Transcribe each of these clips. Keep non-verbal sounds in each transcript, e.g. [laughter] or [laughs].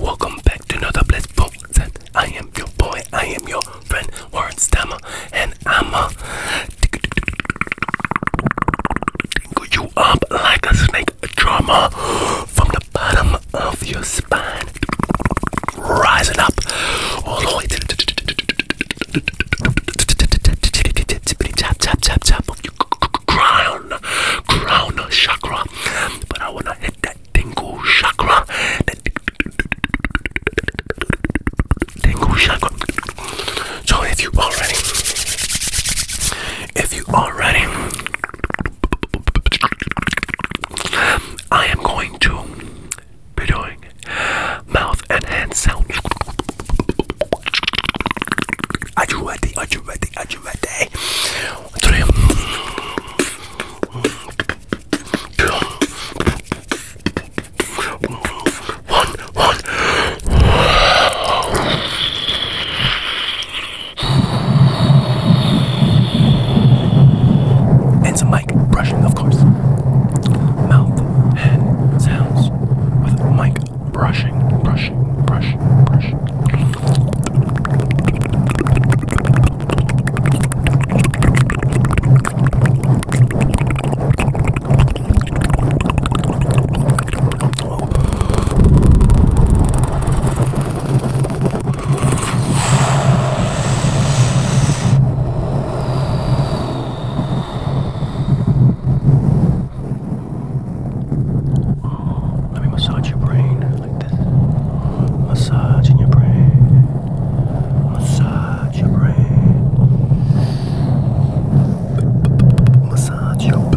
Welcome back to another Bless Box. I am your boy, I am your friend, Warren Stammer, and I'm a tingle you up like a snake drama from the bottom of your spine, rising up all the way to the tap tap tap tap of your crown crown chakra but I wanna hit that tingle chakra that tingle chakra so if you already if you already I am going to be doing mouth and hand sound. Are you ready? Are you ready? Are you ready? Three. And some mic brushing, of course. Mouth, hand sounds with mic brushing, brushing, brushing, brushing let me massage your brain like this. Massage your brain. Massage your brain. Massage your brain.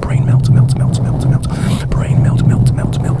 Brain melt, melt, melt, melt, melt. Brain melt, melt, melt, melt.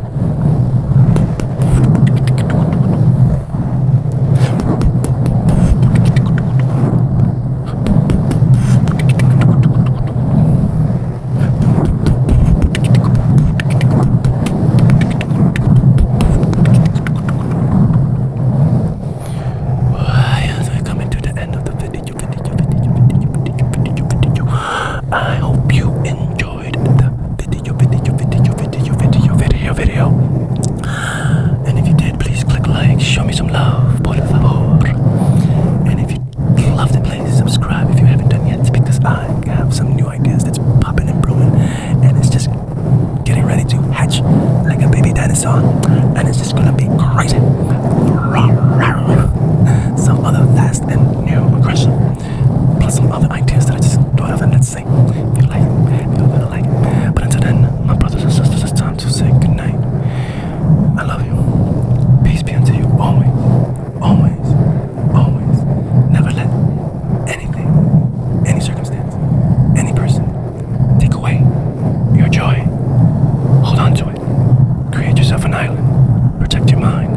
As we coming to the end of the video, video, video, video, video, video, video, video. I hope you enjoy enjoyed the video, video, video, video, video, video, video. And if you did, please click like, show me some love, por favor. And if you loved it, please subscribe if you haven't done yet, because I have some new ideas that's popping and brewing, and it's just getting ready to hatch like a baby dinosaur, and it's just gonna be crazy. [laughs] So other fast and new aggression plus some other ideas that I just thought of, and let's say if you like, if you're going But until then, my brothers and sisters, it's time to say goodnight. I love you. Peace be unto you always, always, always. Never let anything, any circumstance, any person take away your joy. Hold on to it. Create yourself an island. Protect your mind.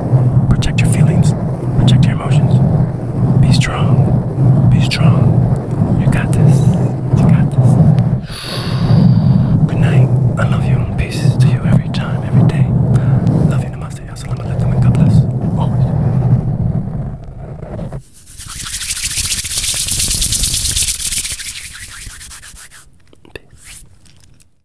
Protect your feelings. Protect your emotions. Be strong. Be strong. You got this. You got this. Good night. I love you. Peace to you every time, every day. Love you, namaste. Assalamu alaikum and God bless. Always. Peace.